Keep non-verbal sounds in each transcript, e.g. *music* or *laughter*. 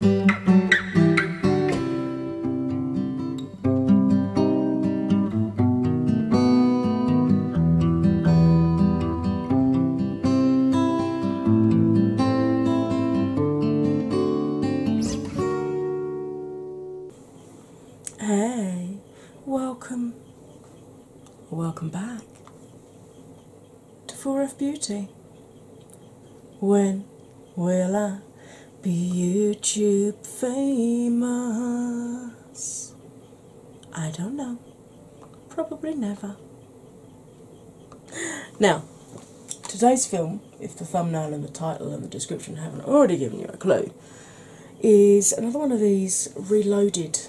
Hey, welcome, welcome back to 4F Beauty. When will I be YouTube famous? I don't know. Probably never. Now, today's film, if the thumbnail and the title and the description haven't already given you a clue, is another one of these reloaded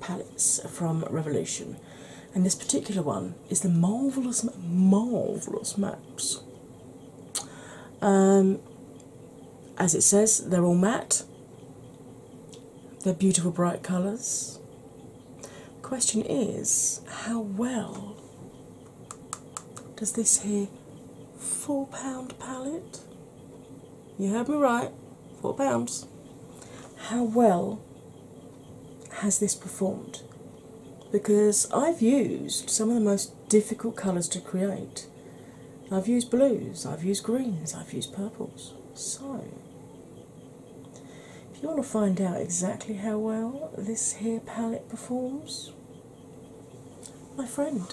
palettes from Revolution and this particular one is the marvelous, marvelous max. Um, as it says, they're all matte. They're beautiful, bright colours. Question is, how well does this here four pound palette? You heard me right, four pounds. How well has this performed because I've used some of the most difficult colours to create. I've used blues, I've used greens, I've used purples. So, if you want to find out exactly how well this here palette performs, my friend,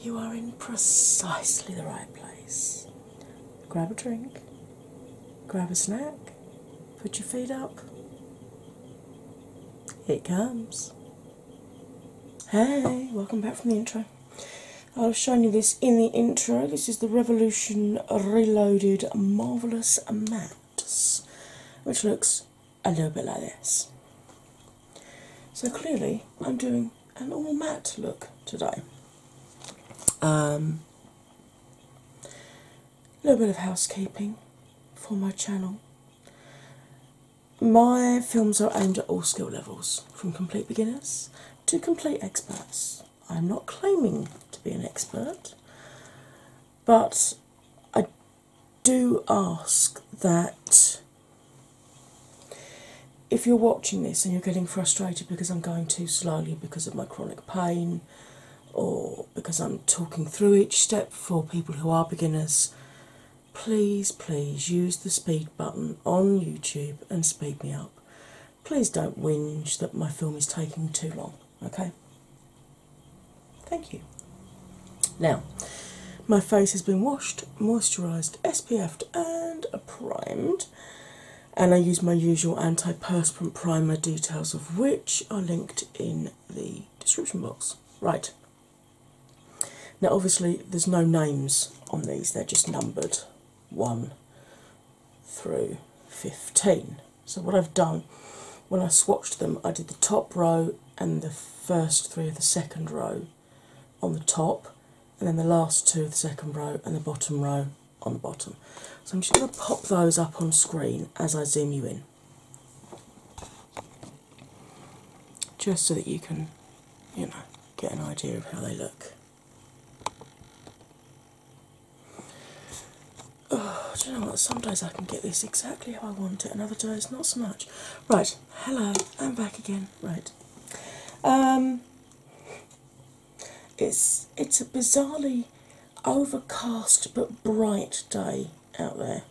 you are in precisely the right place. Grab a drink, grab a snack, put your feet up, it comes. Hey, welcome back from the intro. I'll have shown you this in the intro. This is the Revolution Reloaded Marvelous Mattes, which looks a little bit like this. So clearly, I'm doing an all matte look today. Um, a little bit of housekeeping for my channel. My films are aimed at all skill levels, from complete beginners to complete experts. I'm not claiming to be an expert, but I do ask that if you're watching this and you're getting frustrated because I'm going too slowly because of my chronic pain or because I'm talking through each step for people who are beginners, please, please use the speed button on YouTube and speed me up. Please don't whinge that my film is taking too long, okay? Thank you. Now, my face has been washed, moisturised, SPF'd, and primed. And I use my usual anti-perspirant primer, details of which are linked in the description box. Right. Now, obviously, there's no names on these, they're just numbered 1 through 15. So, what I've done when I swatched them, I did the top row and the first three of the second row on the top, and then the last two of the second row and the bottom row on the bottom. So, I'm just going to pop those up on screen as I zoom you in just so that you can, you know, get an idea of how they look. Oh, do you know what? Some I can get this exactly how I want it, and other days not so much. Right, hello, I'm back again. Right. Um it's it's a bizarrely overcast but bright day out there.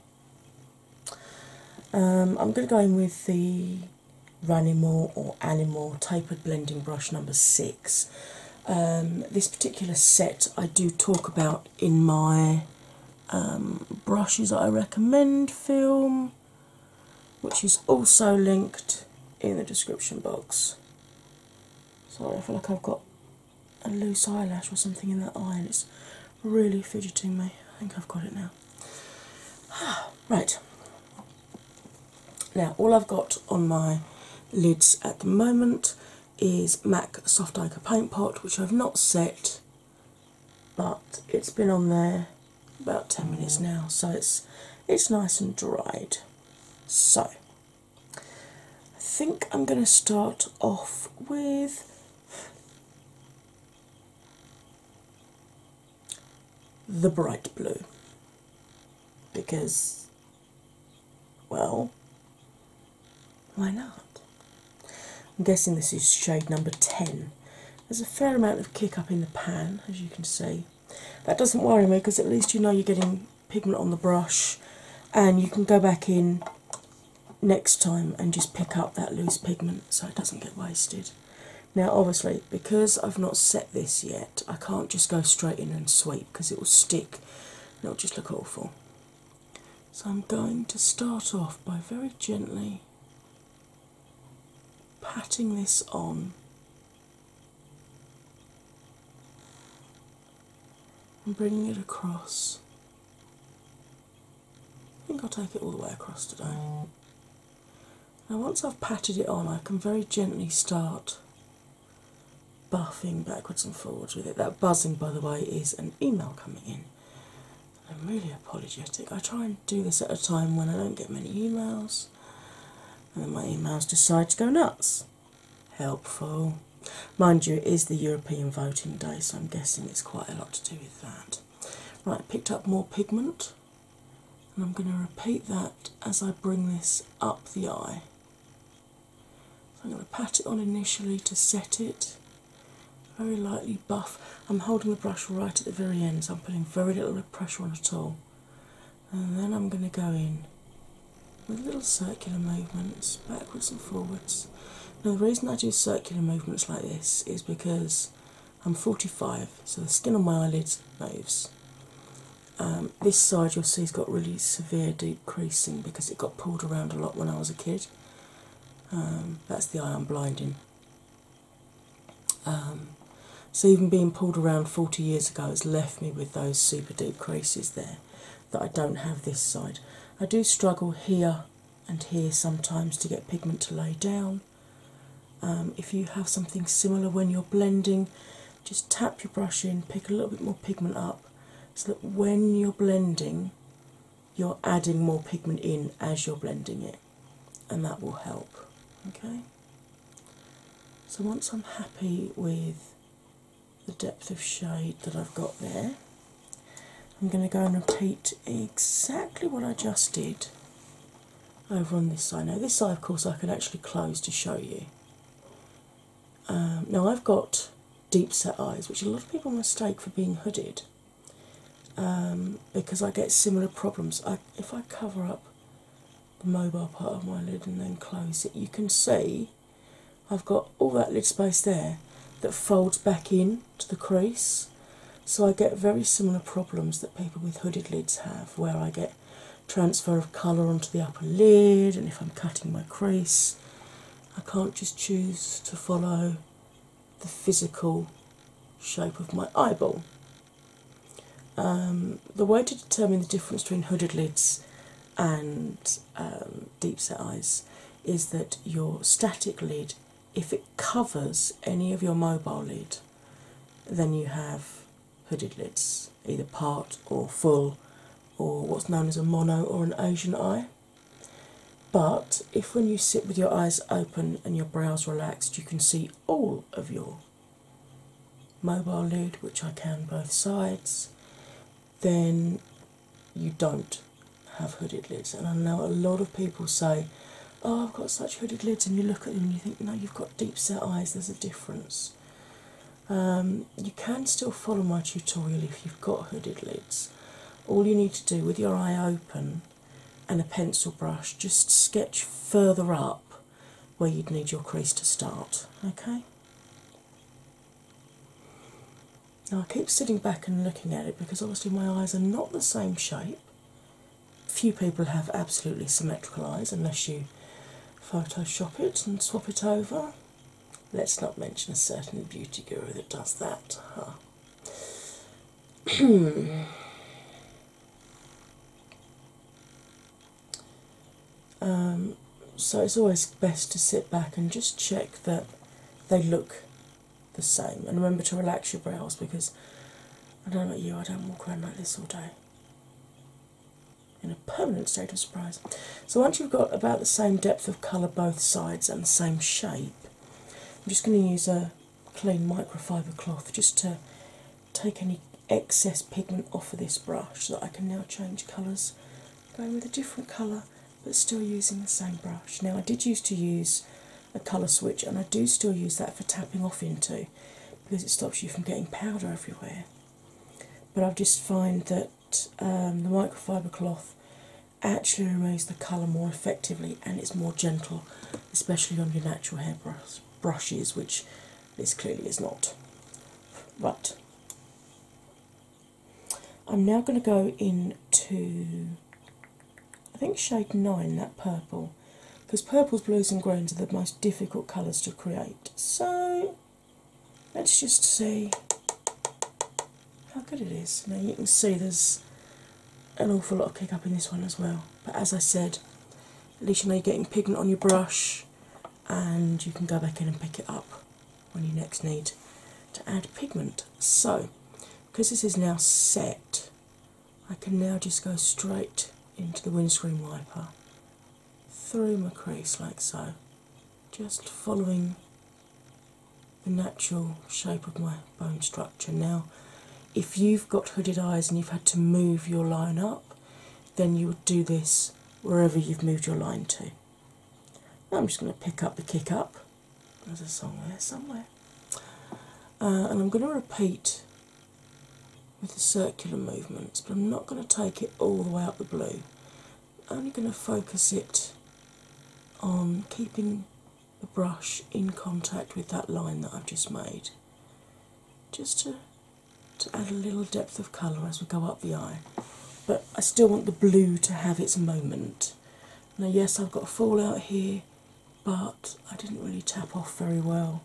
Um, I'm going to go in with the Ranimore or Animal Tapered Blending Brush number six. Um, this particular set I do talk about in my um, brushes I recommend film, which is also linked in the description box. Sorry, I feel like I've got a loose eyelash or something in that eye, and it's really fidgeting me. I think I've got it now. *sighs* right. Now, all I've got on my lids at the moment is MAC Soft Ica Paint Pot, which I've not set, but it's been on there about 10 minutes now, so it's it's nice and dried. So I think I'm going to start off with the bright blue because, well, why not? I'm guessing this is shade number 10. There's a fair amount of kick up in the pan, as you can see. That doesn't worry me because at least you know you're getting pigment on the brush, and you can go back in next time and just pick up that loose pigment so it doesn't get wasted. Now, obviously, because I've not set this yet, I can't just go straight in and sweep because it will stick and it'll just look awful. So, I'm going to start off by very gently patting this on and bringing it across I think I'll take it all the way across today. Now, once I've patted it on, I can very gently start buffing backwards and forwards with it. That buzzing, by the way, is an email coming in. I'm really apologetic. I try and do this at a time when I don't get many emails, and then my emails decide to go nuts helpful. Mind you, it is the European voting day, so I'm guessing it's quite a lot to do with that. Right, I picked up more pigment, and I'm going to repeat that as I bring this up the eye. I'm going to pat it on initially to set it. Very lightly buff. I'm holding the brush right at the very end, so I'm putting very little pressure on at all. And then I'm going to go in with little circular movements backwards and forwards. Now, the reason I do circular movements like this is because I'm 45, so the skin on my eyelids moves. Um, this side you'll see has got really severe deep creasing because it got pulled around a lot when I was a kid. Um, that's the eye I'm blinding. Um, so even being pulled around 40 years ago, has left me with those super deep creases there that I don't have this side. I do struggle here and here sometimes to get pigment to lay down. Um, if you have something similar when you're blending, just tap your brush in, pick a little bit more pigment up so that when you're blending, you're adding more pigment in as you're blending it, and that will help. Okay, so once I'm happy with the depth of shade that I've got there. I'm going to go and repeat exactly what I just did over on this side. Now, this side, of course, I can actually close to show you. Um, now, I've got deep set eyes, which a lot of people mistake for being hooded um, because I get similar problems. if I cover up the mobile part of my lid and then close it, you can see I've got all that lid space there that folds back in to the crease. So I get very similar problems that people with hooded lids have, where I get transfer of colour onto the upper lid, and if I'm cutting my crease, I can't just choose to follow the physical shape of my eyeball. Um, the way to determine the difference between hooded lids and um, deep set eyes is that your static lid, if it covers any of your mobile lid, then you have hooded lids, either part or full, or what's known as a mono or an Asian eye. But if when you sit with your eyes open and your brows relaxed, you can see all of your mobile lid, which I can both sides, then you don't have hooded lids. And I know a lot of people say, Oh, I've got such hooded lids, and you look at them and you think, No, you've got deep set eyes, there's a difference. Um, you can still follow my tutorial if you've got hooded lids. All you need to do with your eye open and a pencil brush, just sketch further up where you'd need your crease to start. Okay? Now I keep sitting back and looking at it because obviously my eyes are not the same shape. Few people have absolutely symmetrical eyes unless you Photoshop it and swap it over. Let's not mention a certain beauty guru that does that. *clears throat* Um, so it's always best to sit back and just check that they look the same. And remember to relax your brows because I don't know about you, I don't walk around like this all day. In a permanent state of surprise. So once you've got about the same depth of colour both sides and the same shape, I'm just going to use a clean microfiber cloth just to take any excess pigment off of this brush so that I can now change colours going with a different colour but still using the same brush. Now, I did used to use a colour switch, and I do still use that for tapping off into because it stops you from getting powder everywhere. But I've just find that um, the microfiber cloth actually removes the colour more effectively and it's more gentle, especially on your natural hair brush, brushes, which this clearly is not. But I'm now going to go into, I think, shade 9, that purple, because purples, blues, and greens are the most difficult colours to create. So let's just see how good it is. Now you can see there's an awful lot of kick up in this one as well, but as I said, at least you you're getting pigment on your brush and you can go back in and pick it up when you next need to add pigment. So, because this is now set, I can now just go straight into the windscreen wiper through my crease like so, just following the natural shape of my bone structure. Now, if you've got hooded eyes and you've had to move your line up, then you would do this wherever you've moved your line to. I'm just going to pick up the kick up there's a song there somewhere. Uh, and I'm going to repeat with the circular movements, but I'm not going to take it all the way up the blue. I'm only going to focus it on keeping the brush in contact with that line that I've just made, just to, to add a little depth of colour as we go up the eye. But I still want the blue to have its moment. Now, yes, I've got a fall out here, but I didn't really tap off very well.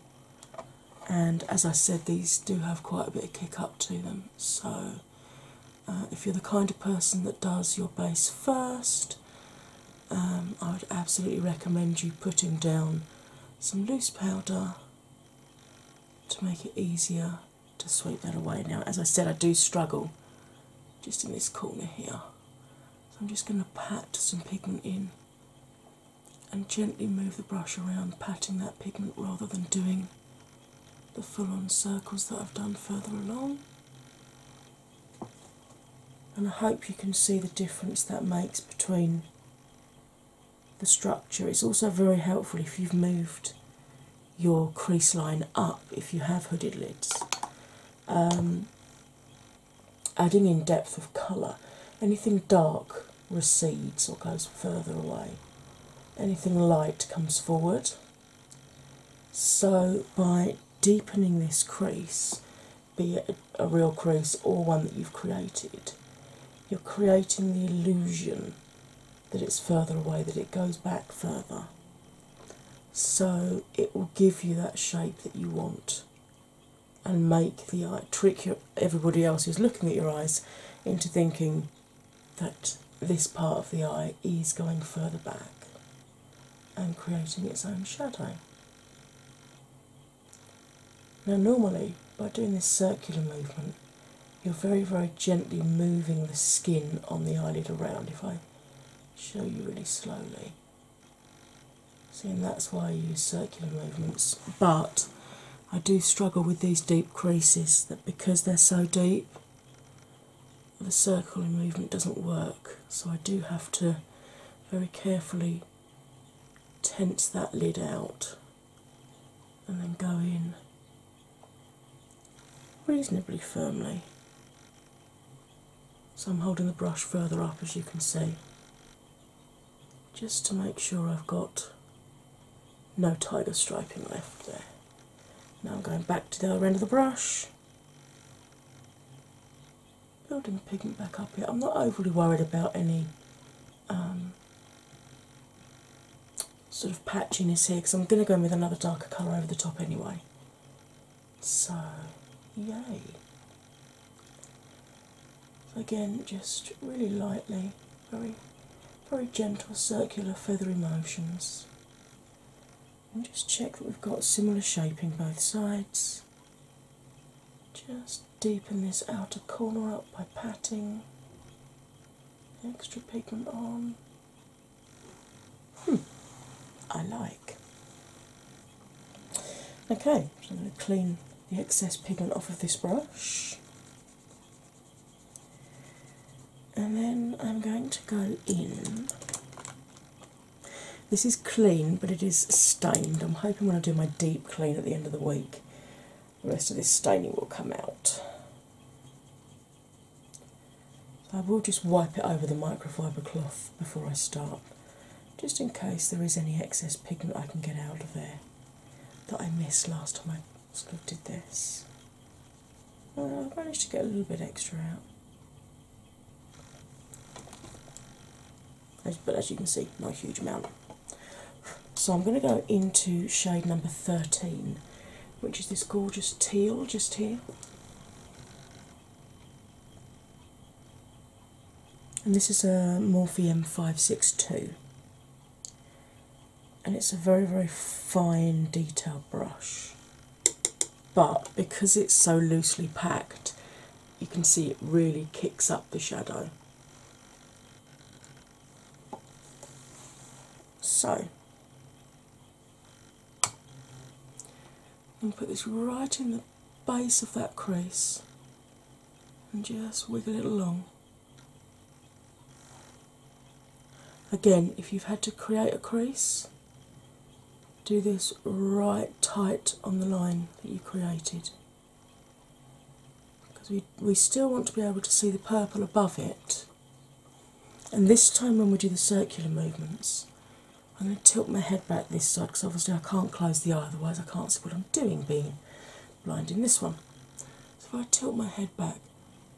And as I said, these do have quite a bit of kick up to them. So, uh, if you're the kind of person that does your base first, um, I would absolutely recommend you putting down some loose powder to make it easier to sweep that away. Now, as I said, I do struggle just in this corner here. So I'm just going to pat some pigment in and gently move the brush around, patting that pigment rather than doing the full on circles that I've done further along. And I hope you can see the difference that makes between the structure. It's also very helpful if you've moved your crease line up if you have hooded lids. Um, adding in depth of colour. Anything dark recedes or goes further away. Anything light comes forward. So by deepening this crease, be it a real crease or one that you've created, you're creating the illusion that it's further away, that it goes back further. So it will give you that shape that you want and make the eye trick your, everybody else who's looking at your eyes into thinking that this part of the eye is going further back and creating its own shadow. Now, normally by doing this circular movement, you're very, very gently moving the skin on the eyelid around. If I show you really slowly. See, and that's why I use circular movements. But I do struggle with these deep creases that because they're so deep, the circular movement doesn't work. So I do have to very carefully tense that lid out and then go in reasonably firmly. So I'm holding the brush further up as you can see, just to make sure I've got no tiger striping left there. Now I'm going back to the other end of the brush. Building pigment back up here. I'm not overly worried about any um, sort of patchiness here because I'm going to go in with another darker colour over the top anyway. So, yay. again, just really lightly, very, very gentle circular feathery motions. And just check that we've got similar shaping both sides. Just deepen this outer corner up by patting the extra pigment on. Hmm, I like. Okay, I'm going to clean the excess pigment off of this brush. And then I'm going to go in. This is clean, but it is stained. I'm hoping when I do my deep clean at the end of the week, the rest of this staining will come out. I will just wipe it over the microfiber cloth before I start, just in case there is any excess pigment I can get out of there that I missed last time I sort of this. Well, I've managed to get a little bit extra out. But as you can see, not a huge amount. So I'm going to go into shade number 13, which is this gorgeous teal just here. And this is a Morphe M562, and it's a very, very fine detail brush. But because it's so loosely packed, you can see it really kicks up the shadow. So, and put this right in the base of that crease and just wiggle it along. Again, if you've had to create a crease, do this right tight on the line that you created. Because we, we still want to be able to see the purple above it, and this time, when we do the circular movements, I'm going to tilt my head back this side because obviously I can't close the eye, otherwise, I can't see what I'm doing being blind in this one. So, if I tilt my head back,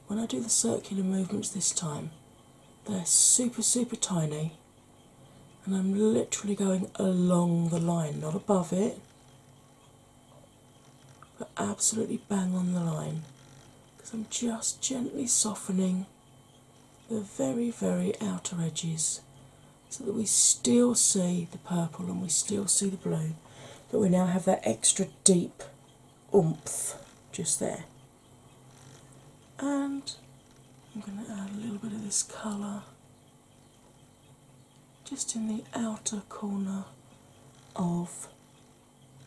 when I do the circular movements this time, they're super, super tiny, and I'm literally going along the line, not above it, but absolutely bang on the line because I'm just gently softening the very, very outer edges so that we still see the purple and we still see the blue, but we now have that extra deep oomph just there. And I'm going to add a little bit of this colour just in the outer corner of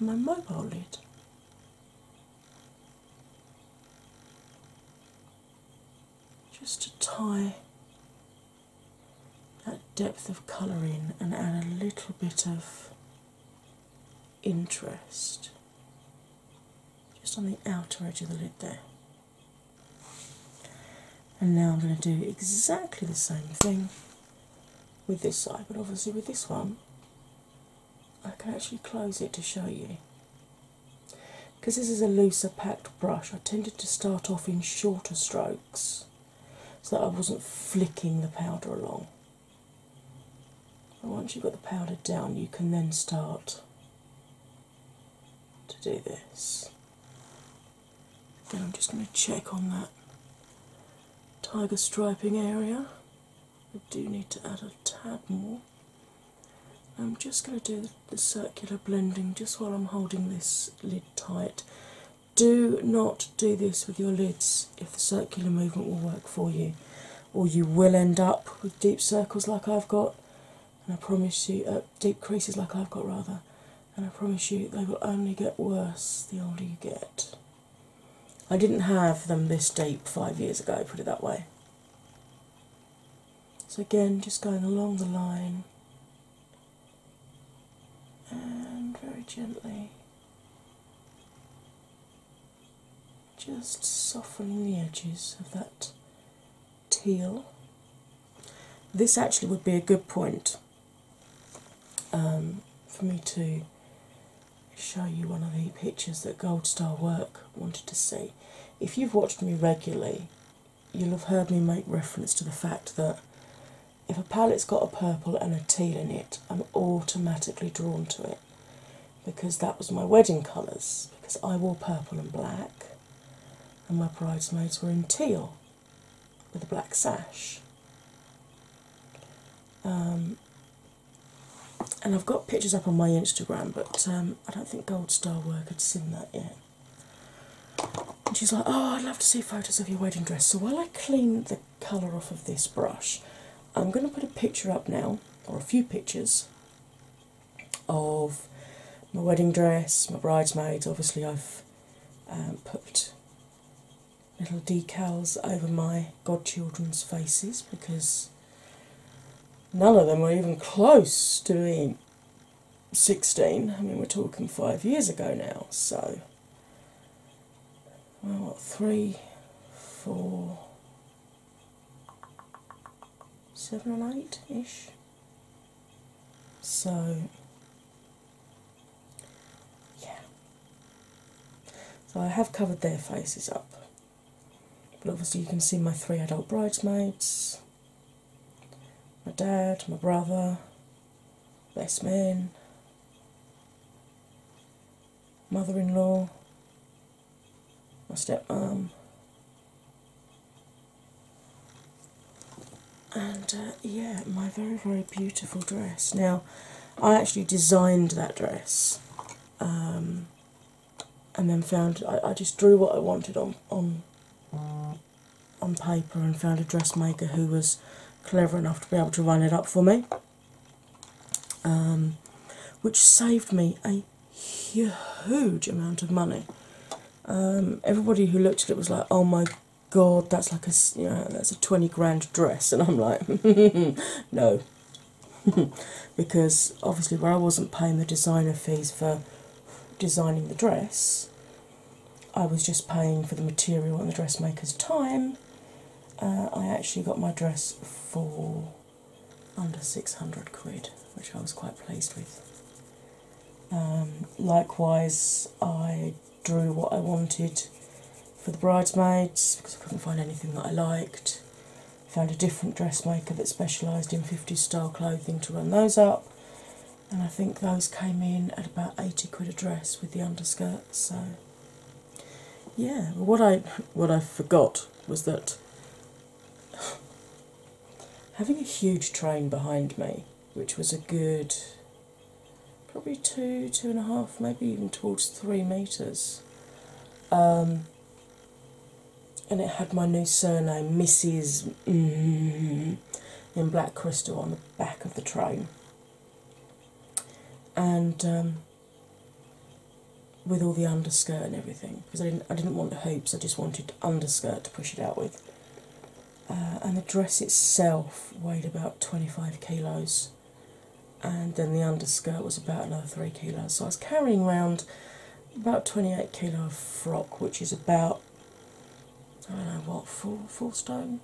my mobile lid just to tie that depth of colour in and add a little bit of interest just on the outer edge of the lid there. And now I'm going to do exactly the same thing with this side, but obviously with this one, I can actually close it to show you. Because this is a looser packed brush, I tended to start off in shorter strokes so that I wasn't flicking the powder along. And once you've got the powder down, you can then start to do this. Then I'm just going to check on that tiger striping area. I do need to add a tad more. I'm just going to do the circular blending just while I'm holding this lid tight. Do not do this with your lids if the circular movement will work for you, or you will end up with deep circles like I've got, and I promise you, uh, deep creases like I've got rather, and I promise you they will only get worse the older you get. I didn't have them this deep five years ago, put it that way. So, again, just going along the line and very gently just softening the edges of that teal. This actually would be a good point um, for me to show you one of the pictures that Gold Star Work wanted to see. If you've watched me regularly, you'll have heard me make reference to the fact that if a palette's got a purple and a teal in it, I'm automatically drawn to it because that was my wedding colours. Because I wore purple and black, and my bridesmaids were in teal with a black sash. Um, and I've got pictures up on my Instagram, but um, I don't think Gold Star Work had seen that yet. And she's like, Oh, I'd love to see photos of your wedding dress. So while I clean the colour off of this brush, I'm going to put a picture up now, or a few pictures, of my wedding dress, my bridesmaids. Obviously, I've um, put little decals over my godchildren's faces because None of them were even close to being 16. I mean, we're talking five years ago now, so. Well, what, three, four, seven and eight ish. So, yeah. So I have covered their faces up. But obviously, you can see my three adult bridesmaids my dad, my brother, best man, mother in law, my step stepmom. And uh, yeah, my very, very beautiful dress. Now, I actually designed that dress. Um, and then found I, I just drew what I wanted on on on paper and found a dressmaker who was clever enough to be able to run it up for me, um, which saved me a huge amount of money. Um, everybody who looked at it was like, "Oh my god, that's like a you know that's a twenty grand dress," *laughs* and I'm like, *laughs* "No, *laughs* because obviously, where I wasn't paying the designer fees for designing the dress, I was just paying for the material and the dressmaker's time. Uh, I actually got my dress for under 600 quid, which I was quite pleased with. Um, likewise, I drew what I wanted for the bridesmaids because I couldn't find anything that I liked found a different dressmaker that specialised in 50s style clothing to run those up, and I think those came in at about 80 quid a dress with the underskirts. So, yeah, what I what I forgot was that having a huge train behind me, which was a good probably two, two and a half, maybe even towards three meters. Um, and it had my new surname, Mrs. Mm, in black crystal on the back of the train. And um, with all the underskirt and everything, because I didn't, I didn't want hoops, I just wanted underskirt to push it out with. Uh, and the dress itself weighed about 25 kilos, and then the underskirt was about another three kilos. So I was carrying around about 28 kilo frock, which is about I don't know what four four stone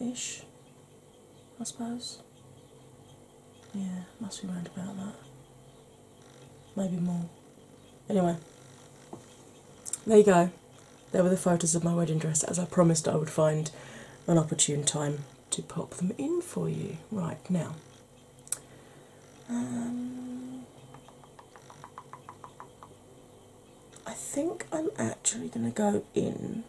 ish, I suppose. Yeah, must be round about that. Maybe more. Anyway, there you go. There were the photos of my wedding dress as I promised I would find an opportune time to pop them in for you. Right now, um, I think I'm actually going to go in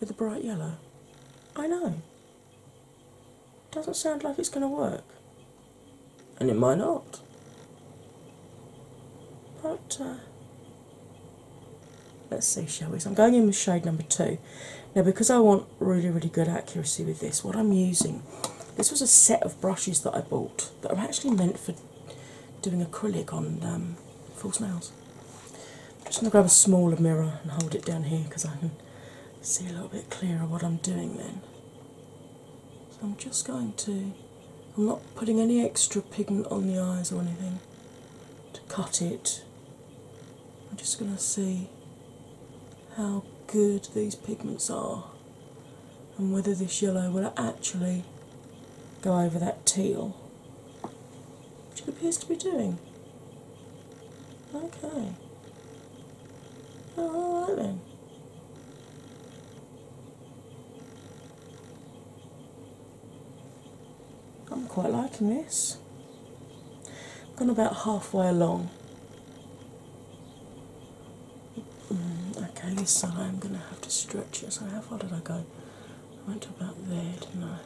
with a bright yellow. I know. Doesn't sound like it's going to work. And it might not. But uh, Let's see, shall we? I'm going in with shade number two. Now, because I want really, really good accuracy with this, what I'm using this was a set of brushes that I bought that are actually meant for doing acrylic on um, full nails. I'm just going to grab a smaller mirror and hold it down here because I can see a little bit clearer what I'm doing then. So I'm just going to, I'm not putting any extra pigment on the eyes or anything to cut it. I'm just going to see how good these pigments are and whether this yellow will actually go over that teal, which it appears to be doing. Okay. Alright then. I'm quite liking this. I've gone about halfway along. Mm, okay, this I'm going to have to stretch it. So, how far did I go? I went about there, didn't I?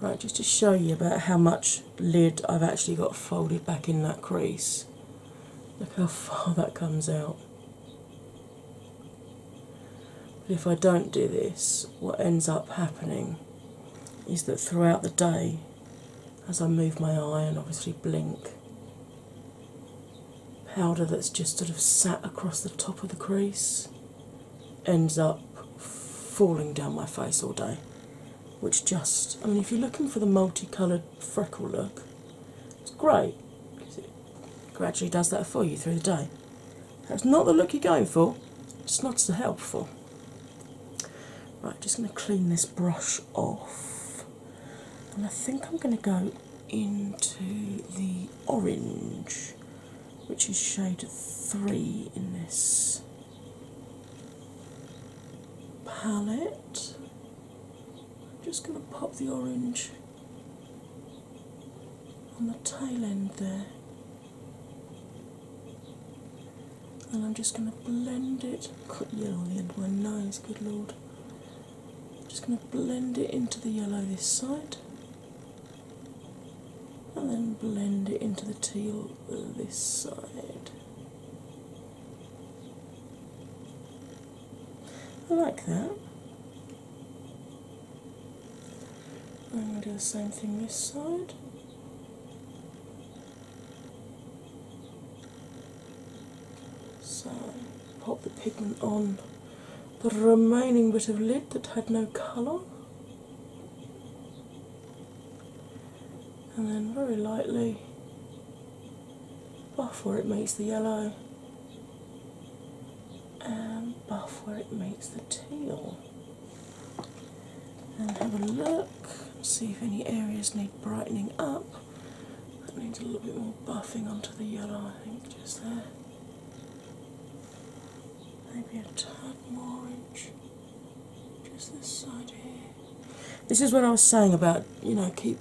Right, just to show you about how much lid I've actually got folded back in that crease. Look how far *laughs* that comes out. But if I don't do this, what ends up happening is that throughout the day, as I move my eye and obviously blink, powder that's just sort of sat across the top of the crease ends up falling down my face all day. Which just, I mean, if you're looking for the multicoloured freckle look, it's great gradually does that for you through the day. That's not the look you're going for, it's not so helpful. Right, just going to clean this brush off, and I think I'm going to go into the orange, which is shade 3 in this palette. Just going to pop the orange on the tail end there. And I'm just going to blend it. Cut yellow on end of my nose, good lord. I'm just going to blend it into the yellow this side, and then blend it into the teal uh, this side. I like that. I'm going to do the same thing this side. So, pop the pigment on the remaining bit of lid that had no colour, and then very lightly buff where it meets the yellow and um, buff where it meets the tail, And have a look, see if any areas need brightening up. That needs a little bit more buffing onto the yellow, I think, just there. Maybe a tad more orange, just this side here. This is what I was saying about, you know, keep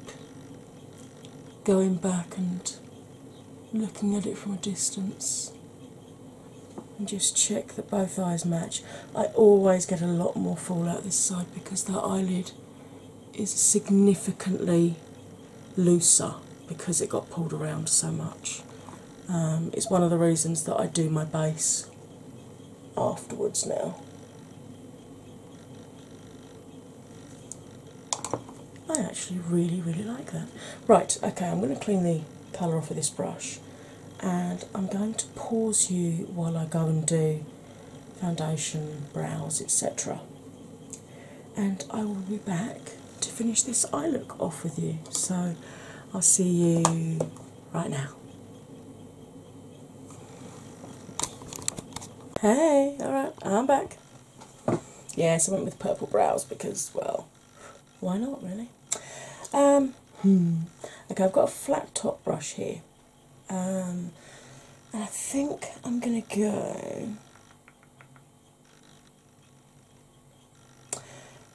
going back and looking at it from a distance and just check that both eyes match. I always get a lot more fallout this side because that eyelid is significantly looser because it got pulled around so much. Um, it's one of the reasons that I do my base afterwards now. I actually really, really like that. Right, okay, I'm going to clean the colour off of this brush and I'm going to pause you while I go and do foundation, brows, etc. And I will be back to finish this eye look off with you. So I'll see you right now. Hey, alright, I'm back. Yes, I went with purple brows because, well, why not really? Um, hmm. Okay, I've got a flat top brush here, um, I think I'm going to go.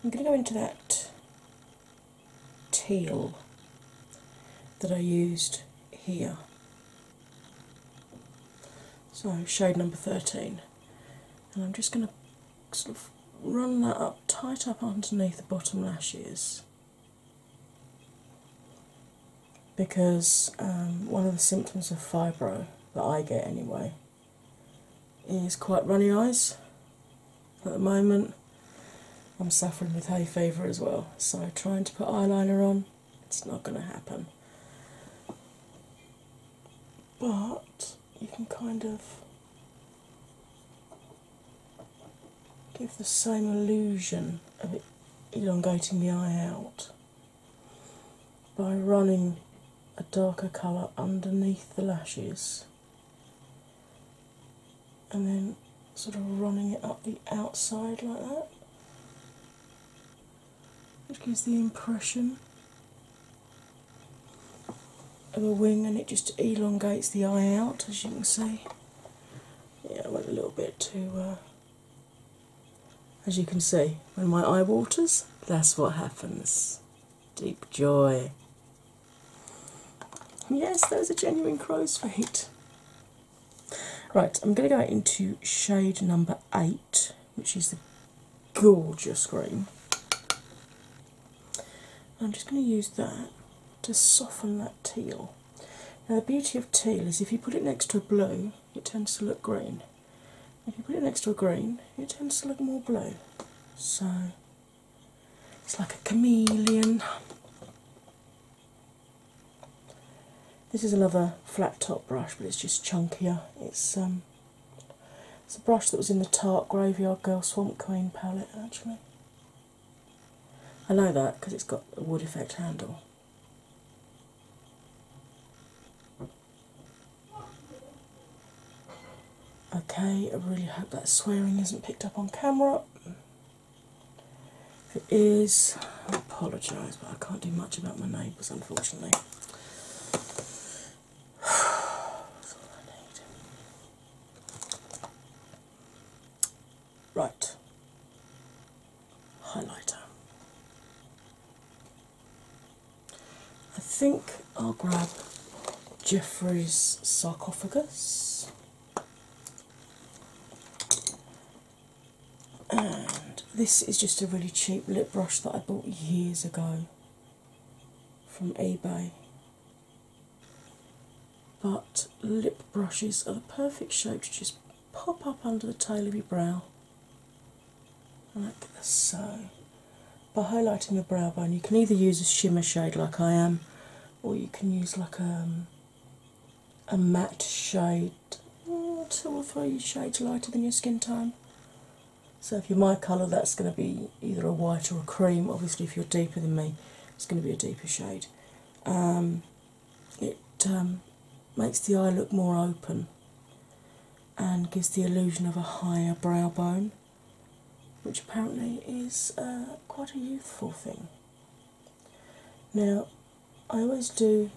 I'm going to go into that teal that I used here. So, shade number 13 and I'm just going to sort of run that up, tight up underneath the bottom lashes. Because um, one of the symptoms of fibro that I get anyway is quite runny eyes. At the moment, I'm suffering with hay fever as well, so trying to put eyeliner on, it's not going to happen but you can kind of give the same illusion of elongating the eye out by running a darker colour underneath the lashes and then sort of running it up the outside like that. It gives the impression of a wing and it just elongates the eye out as you can see. Yeah, went a little bit too uh, as you can see, when my eye waters, that's what happens. Deep joy. Yes, those are genuine crow's feet. Right, I'm going to go into shade number 8 which is the gorgeous green. I'm just going to use that to soften that teal. Now, the beauty of teal is if you put it next to a blue, it tends to look green. If you put it next to a green, it tends to look more blue. So it's like a chameleon. This is another flat top brush, but it's just chunkier. It's um, it's a brush that was in the Tarte Graveyard Girl Swamp Queen palette, actually. I know that because it's got a wood effect handle. Okay, I really hope that swearing isn't picked up on camera. it is, I apologise, but I can't do much about my neighbours unfortunately. *sighs* Right. Highlighter. I think I'll grab Jeffrey's sarcophagus and this is just a really cheap lip brush that I bought years ago from eBay. But lip brushes are the perfect shape to just pop up under the tail of your brow like so. By highlighting your brow bone, you can either use a shimmer shade like I am, or you can use like a, um, a matte shade, mm, two or three shades lighter than your skin tone. So if you're my colour, that's going to be either a white or a cream. Obviously, if you're deeper than me, it's going to be a deeper shade. Um, it um, makes the eye look more open and gives the illusion of a higher brow bone, which apparently is uh, quite a youthful thing. Now, I always do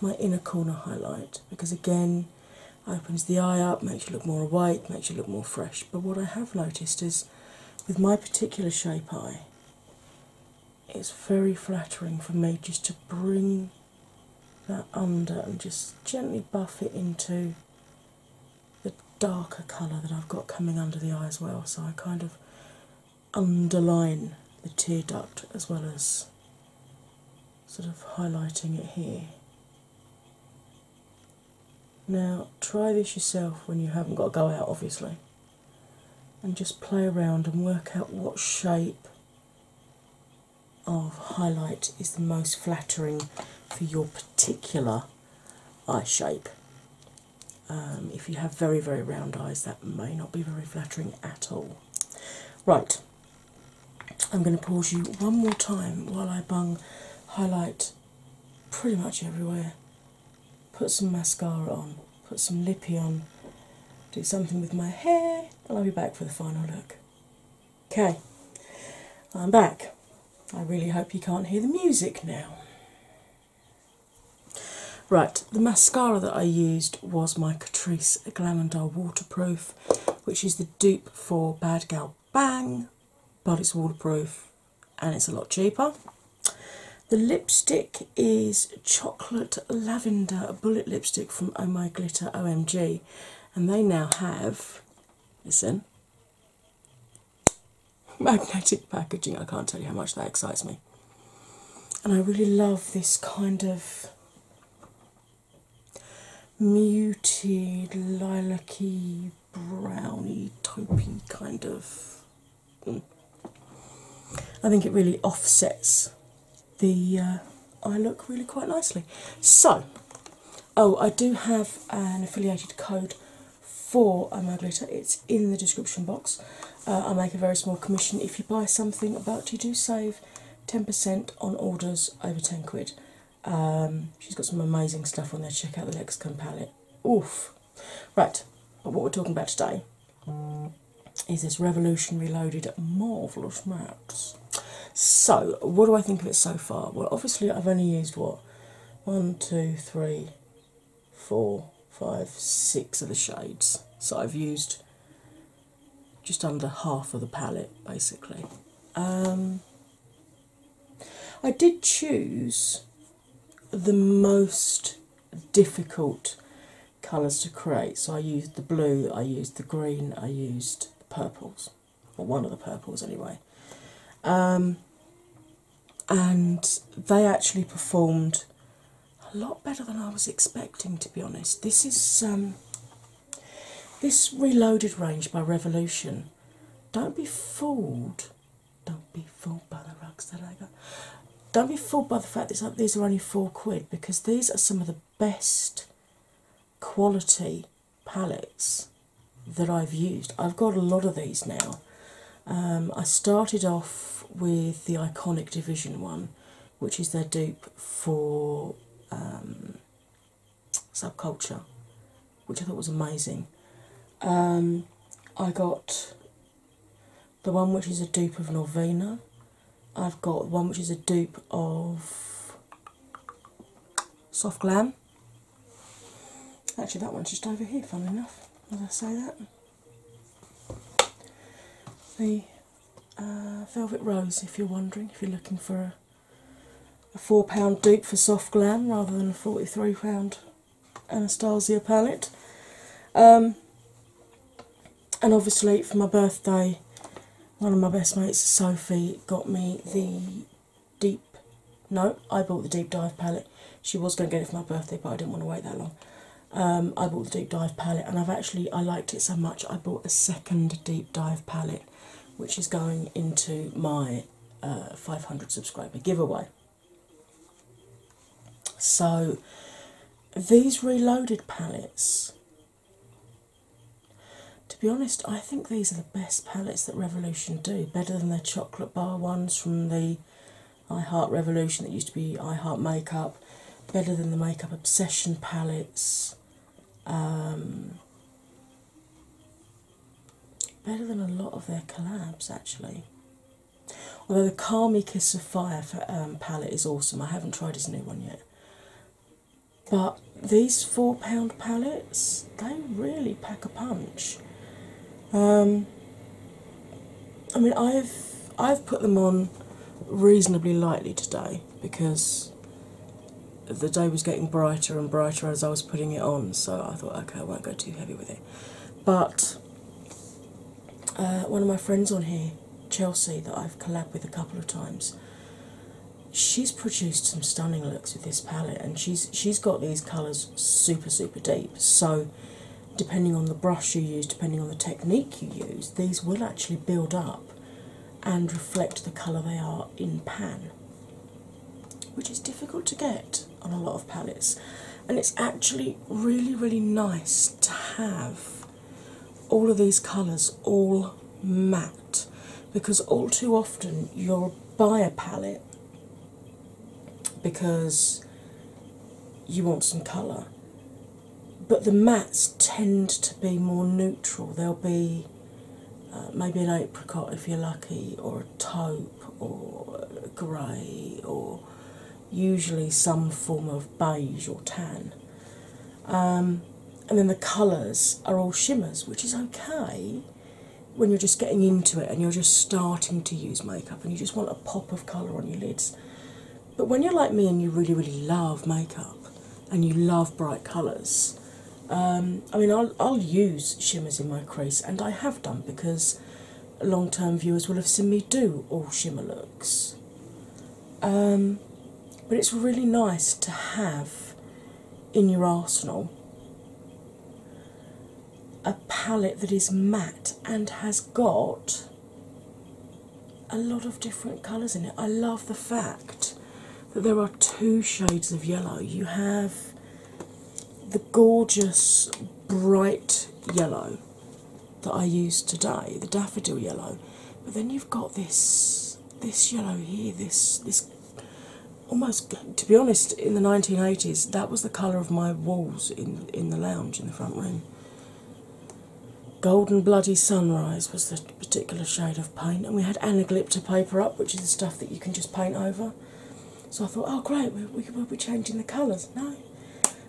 my inner corner highlight because again opens the eye up, makes you look more awake, makes you look more fresh. But what I have noticed is with my particular shape eye, it's very flattering for me just to bring that under and just gently buff it into the darker colour that I've got coming under the eye as well. So I kind of underline the tear duct as well as sort of highlighting it here. Now, try this yourself when you haven't got to go out, obviously, and just play around and work out what shape of highlight is the most flattering for your particular eye shape. Um, if you have very, very round eyes, that may not be very flattering at all. Right, I'm going to pause you one more time while I bung highlight pretty much everywhere. Put some mascara on, put some lippy on, do something with my hair, and I'll be back for the final look. Okay, I'm back. I really hope you can't hear the music now. Right, the mascara that I used was my Catrice Glamandar Waterproof which is the dupe for Bad Gal Bang, but it's waterproof and it's a lot cheaper. The lipstick is Chocolate Lavender, bullet lipstick from Oh Glitter OMG, and they now have, listen, *laughs* magnetic packaging. I can't tell you how much that excites me. And I really love this kind of muted, lilac-y, browny, taupey kind of. Hmm. I think it really offsets the uh, eye look really quite nicely. So, oh, I do have an affiliated code for Omo Glitter. It's in the description box. Uh, I make a very small commission if you buy something, but you do save 10% on orders over 10 quid. Um, she's got some amazing stuff on there. Check out the Lexicon palette. Oof. Right, what we're talking about today is this revolutionary loaded marvellous maps. So, what do I think of it so far? Well, obviously, I've only used what? One, two, three, four, five, six of the shades. So, I've used just under half of the palette basically. Um, I did choose the most difficult colours to create, so I used the blue, I used the green, I used the purples, or one of the purples anyway. Um, and they actually performed a lot better than I was expecting, to be honest. This is um, this reloaded range by Revolution, don't be fooled. Don't be fooled by the rugs Don't be fooled by the fact that these are only four quid because these are some of the best quality palettes that I've used. I've got a lot of these now. Um, I started off with the Iconic Division one, which is their dupe for um, subculture, which I thought was amazing. Um, I got the one which is a dupe of Norvina. I've got one which is a dupe of Soft Glam. Actually, that one's just over here, Fun enough, as I say that. The uh, velvet Rose, if you're wondering, if you're looking for a, £4 dupe for Soft Glam rather than a £43 Anastasia palette. Um, and obviously, for my birthday, one of my best mates, Sophie, got me the deep. No, I bought the deep dive palette. She was going to get it for my birthday, but I didn't want to wait that long. Um, I bought the deep dive palette, and I've actually I liked it so much I bought a second deep dive palette which is going into my uh, 500 subscriber giveaway. So, these reloaded palettes, to be honest, I think these are the best palettes that Revolution do, better than their chocolate bar ones from the I Heart Revolution that used to be I Heart Makeup, better than the Makeup Obsession palettes. Um, better than a lot of their collabs, actually. Although the Calm Me Kiss of Fire palette is awesome. I haven't tried his new one yet. But these four pound palettes, they really pack a punch. Um, I mean, I've I've put them on reasonably lightly today because the day was getting brighter and brighter as I was putting it on, so I thought, okay, I won't go too heavy with it. But uh, one of my friends on here, Chelsea, that I've collabed with a couple of times, she's produced some stunning looks with this palette, and she's she's got these colours super super deep. So depending on the brush you use, depending on the technique you use, these will actually build up and reflect the colour they are in pan, which is difficult to get on a lot of palettes. And it's actually really, really nice to have all of these colours all matte because all too often you'll buy a palette because you want some colour. But the mattes tend to be more neutral. They'll be uh, maybe an apricot if you're lucky, or a taupe, or grey, or usually some form of beige or tan. Um, and then the colours are all shimmers, which is okay when you're just getting into it and you're just starting to use makeup and you just want a pop of colour on your lids. But when you're like me and you really, really love makeup, and you love bright colours. Um, I mean, I'll, I'll use shimmers in my crease, and I have done because long term viewers will have seen me do all shimmer looks. Um, but it's really nice to have in your arsenal a palette that is matte and has got a lot of different colours in it. I love the fact that there are two shades of yellow. You have the gorgeous bright yellow that I used today, the daffodil yellow, but then you've got this this yellow here, this this almost to be honest, in the 1980s that was the colour of my walls in in the lounge in the front room. Golden Bloody Sunrise was the particular shade of paint, and we had anaglypta paper up, which is the stuff that you can just paint over. So I thought, oh great, we, we, we'll be changing the colours. No,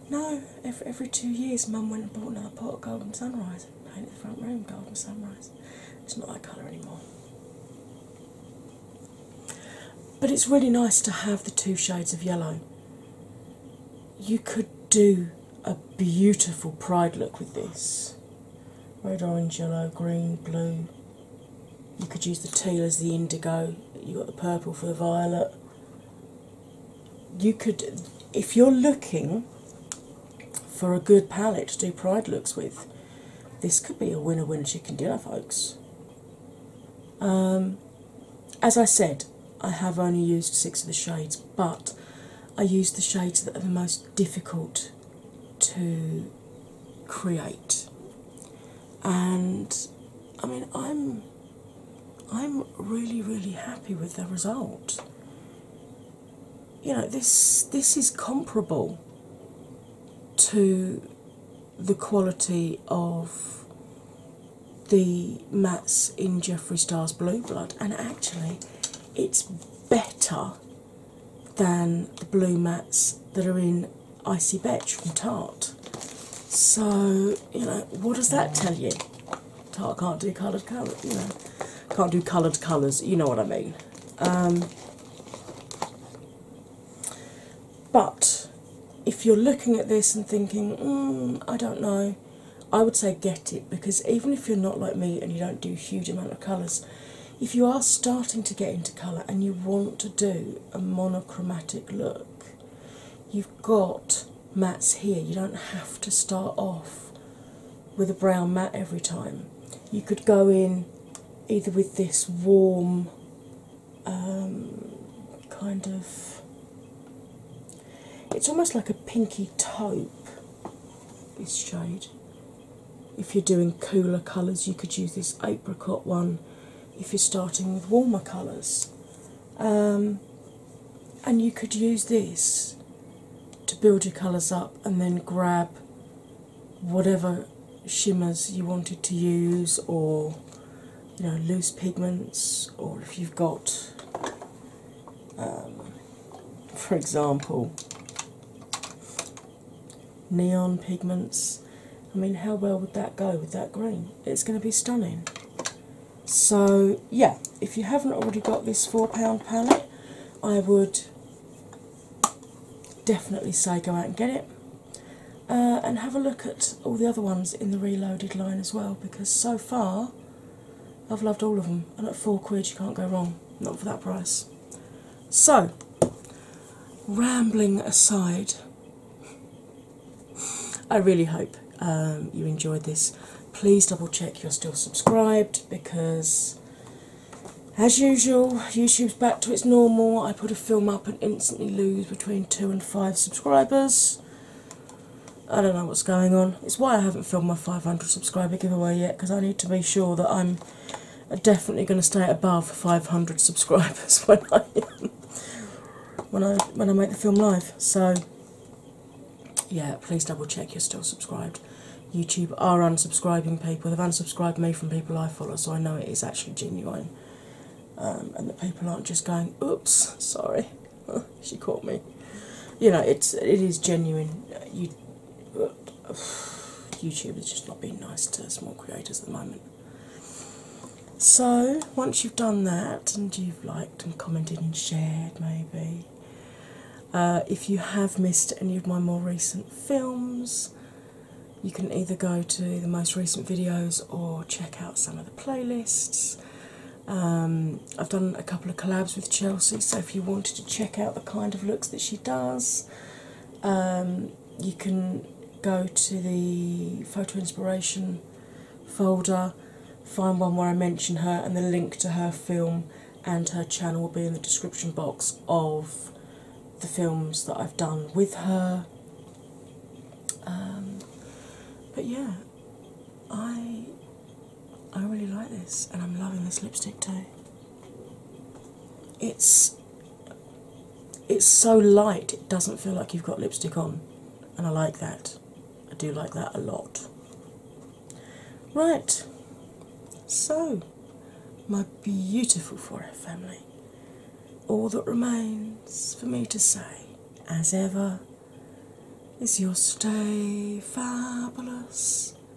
no, every, every two years, Mum went and bought another pot of Golden Sunrise and painted the front room Golden Sunrise. It's not that colour anymore. But it's really nice to have the two shades of yellow. You could do a beautiful pride look with this red, orange, yellow, green, blue. You could use the teal as the indigo, you got the purple for the violet. You could, if you're looking for a good palette to do pride looks with, this could be a winner winner chicken dinner, folks. Um, as I said, I have only used six of the shades, but I used the shades that are the most difficult to create. And I mean I'm I'm really really happy with the result. You know this this is comparable to the quality of the mats in Jeffree Star's Blue Blood and actually it's better than the blue mats that are in Icy Betch from Tarte. So, you know, what does that tell you? Tarte can't do coloured colours, you know, can't do coloured colours, you know what I mean. Um, but if you're looking at this and thinking, hmm, I don't know, I would say get it because even if you're not like me and you don't do huge amount of colours, if you are starting to get into colour and you want to do a monochromatic look, you've got mats here. You don't have to start off with a brown mat every time. You could go in either with this warm um, kind of. It's almost like a pinky taupe this shade. If you're doing cooler colours, you could use this apricot one if you're starting with warmer colours. Um, and you could use this to build your colours up and then grab whatever shimmers you wanted to use or you know loose pigments or if you've got um, for example, neon pigments. I mean, how well would that go with that green? It's going to be stunning. So, yeah, if you haven't already got this £4 palette, I would definitely say go out and get it. Uh, and have a look at all the other ones in the reloaded line as well because so far I've loved all of them, and at four quid you can't go wrong, not for that price. So, rambling aside, *laughs* I really hope um, you enjoyed this. Please double check you're still subscribed because, as usual, YouTube's back to its normal. I put a film up and instantly lose between two and five subscribers. I don't know what's going on. It's why I haven't filmed my 500 subscriber giveaway yet because I need to be sure that I'm are definitely going to stay above 500 subscribers *laughs* when I when I when I make the film live. So yeah, please double check you're still subscribed. YouTube are unsubscribing people. They've unsubscribed me from people I follow, so I know it is actually genuine. Um, and the people aren't just going, "Oops, sorry, *laughs* she caught me." You know, it's it is genuine. *sighs* YouTube has just not been nice to small creators at the moment. So, once you've done that and you've liked and commented and shared, maybe, uh, if you have missed any of my more recent films, you can either go to the most recent videos or check out some of the playlists. Um, I've done a couple of collabs with Chelsea, so if you wanted to check out the kind of looks that she does, um, you can go to the photo inspiration folder, find one where I mention her, and the link to her film and her channel will be in the description box of the films that I've done with her. Um, but yeah, I I really like this, and I'm loving this lipstick too it's it's so light it doesn't feel like you've got lipstick on and I like that. I do like that a lot. Right, so my beautiful forever family, all that remains for me to say, as ever, is your stay fabulous